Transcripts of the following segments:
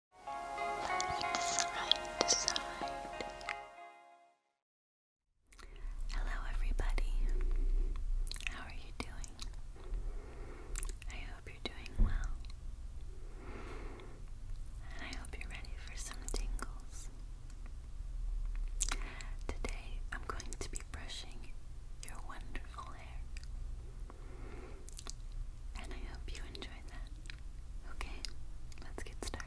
Hello, everybody. How are you doing? I hope you're doing well. I hope you're ready for some tingles. Today, I'm going to be brushing your wonderful hair. And I hope you enjoyed that. Okay, let's get started.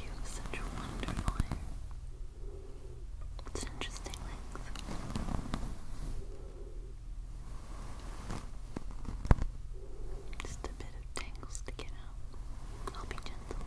You have such a wonderful hair. It's interesting length. Just a bit of tangles to get out. I'll be gentle.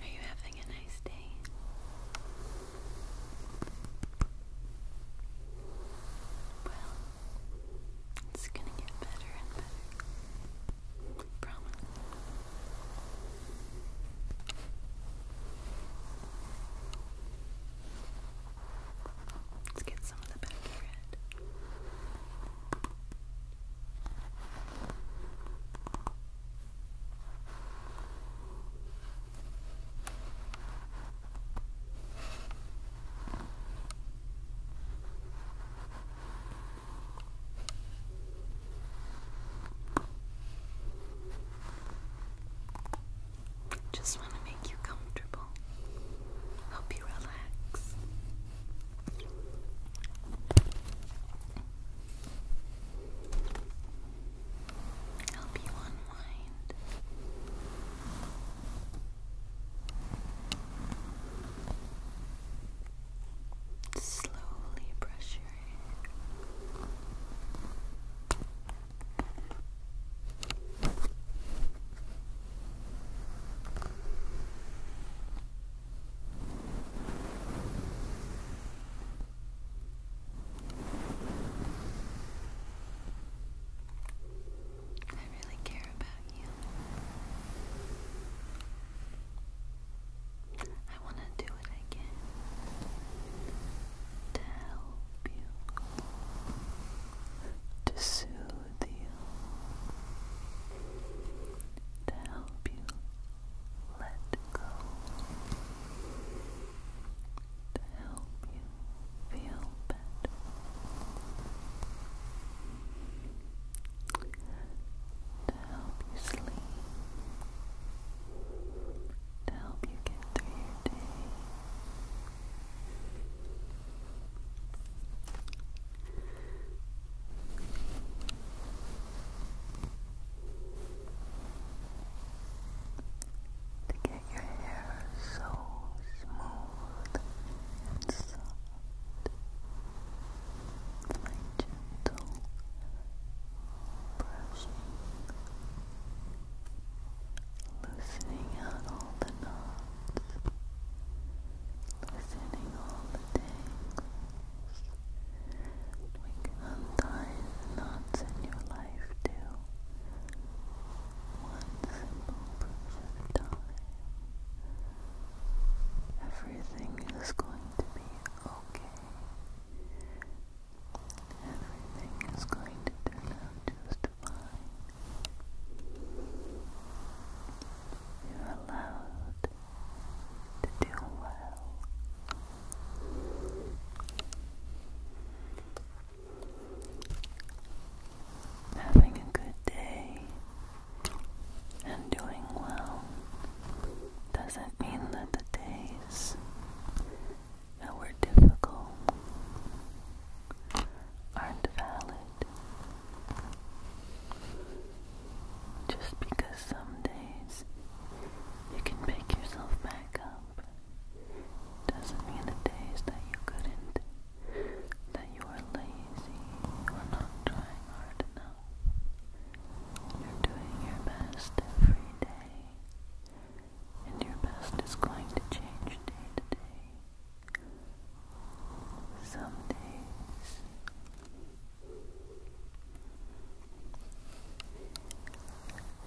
Are you having a nice day? Well, it's gonna get better and better. Promise. Let's get some of the back of just want to make you comfortable, help you relax. Help you unwind. Slowly brush your hair. I really care about you. I want to do it again to help you, to soothe you, to help you let go, to help you feel better, to help you sleep, to help you get through your day. Your hair so smooth and soft. My gentle brushing, loosening out all the knots, loosening all the tangles. We can untie the knots in your life too. One simple proof Everything is going to be okay. Everything is going to turn out just fine. You're allowed to do well having a good day and doing well doesn't mean that the days that were difficult aren't valid. Just because some days you can pick yourself back up doesn't mean the days that you couldn't, that you were lazy or not trying hard enough. You're doing your best every day, and your best is going to change day to day. Some days.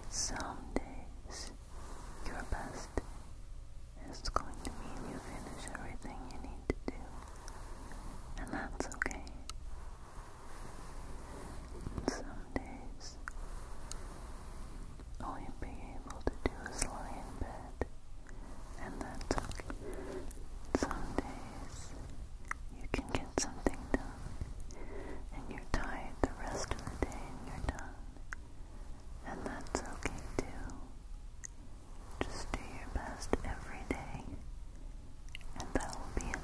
Some days your best is going to mean you finish everything you need to do, and that's okay. some days, all you'll be able to do is lie in bed, and that's okay. Some days, you can get something done, and you're tired the rest of the day, and you're done. And that's okay too. Just do your best every day, and that will be enough.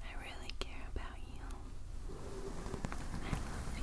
I really care about you. I love you.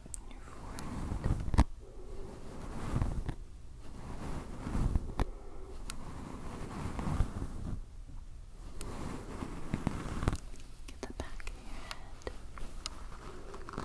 on your forehead. Get the back of your head. Good.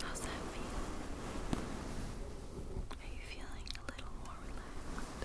How's that feel? Are you feeling a little more relaxed?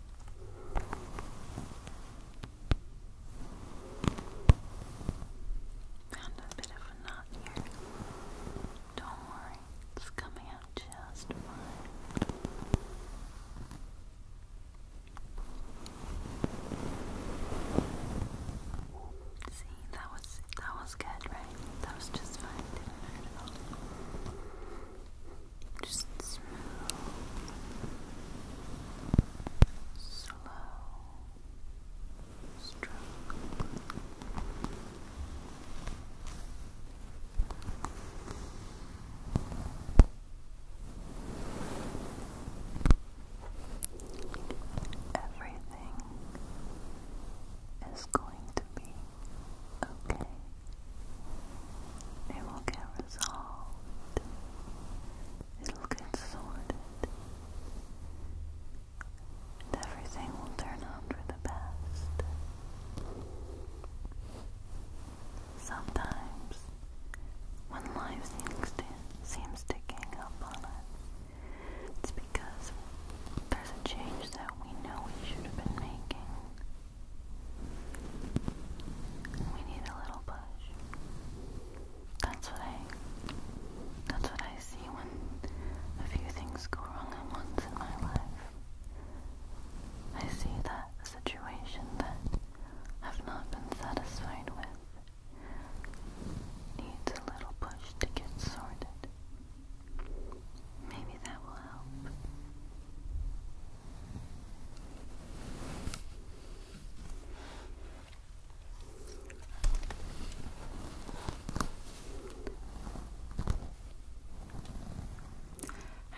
Found a bit of a knot here. Don't worry, it's coming out just fine. See, that was that was good, right? That was just fine, just slow, stroke. Everything is going to be okay. It will get resolved. It'll get sorted. And everything will turn out for the best. Sometimes, when life seems to, seems to gang up on us, it's because there's a change that we know we should have been making. We need a little push. That's what I that's what I see when a few things go wrong at once in my life. I see that situation that I've not been satisfied with needs a little push to get sorted. Maybe that will help.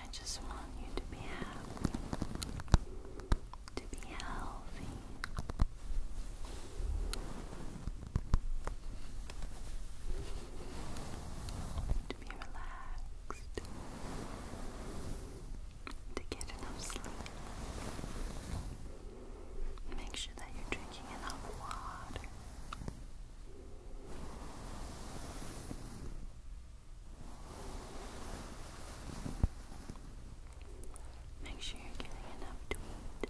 I just want you to be happy, to be healthy be relaxed, to get enough sleep. Make sure that you're drinking enough water. Make sure you're getting enough to eat.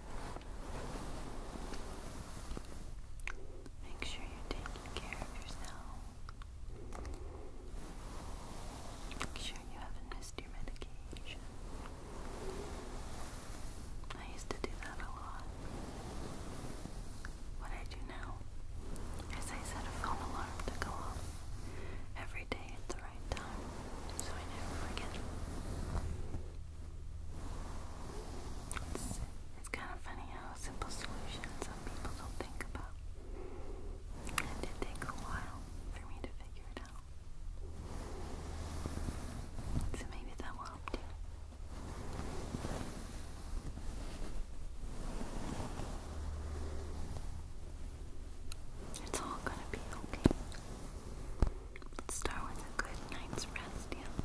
Make sure you're taking care of yourself. Make sure you haven't missed your medication. I used to do that a lot. What I do now I set a phone alarm to go off every day at the right time so I never forget. It's kind of funny how simple solutions some people don't think about. It did take a while for me to figure it out. So maybe that will help too. It's all gonna be okay. Let's start with a good night's rest, yeah?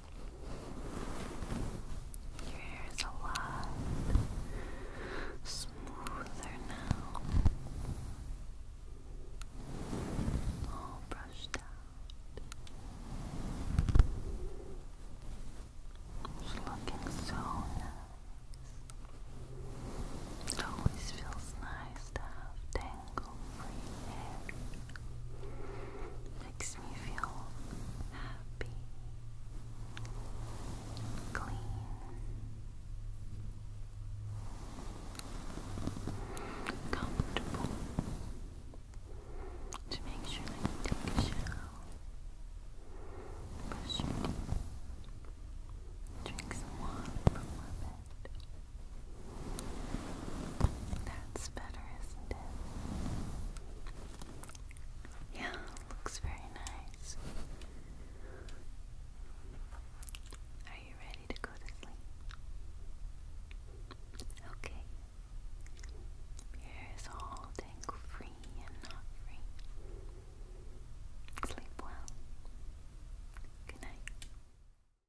Your hair is a lot smoother now. All brushed out. It's looking so nice. It always feels nice to have makes me feel happy, clean. Comfortable to make sure that take a shower, brush drink some water from my bed, that's better, isn't it? Yeah, looks very nice. Are you ready to go to sleep? Okay. Here is all tangle free and not free. Sleep well. Good night.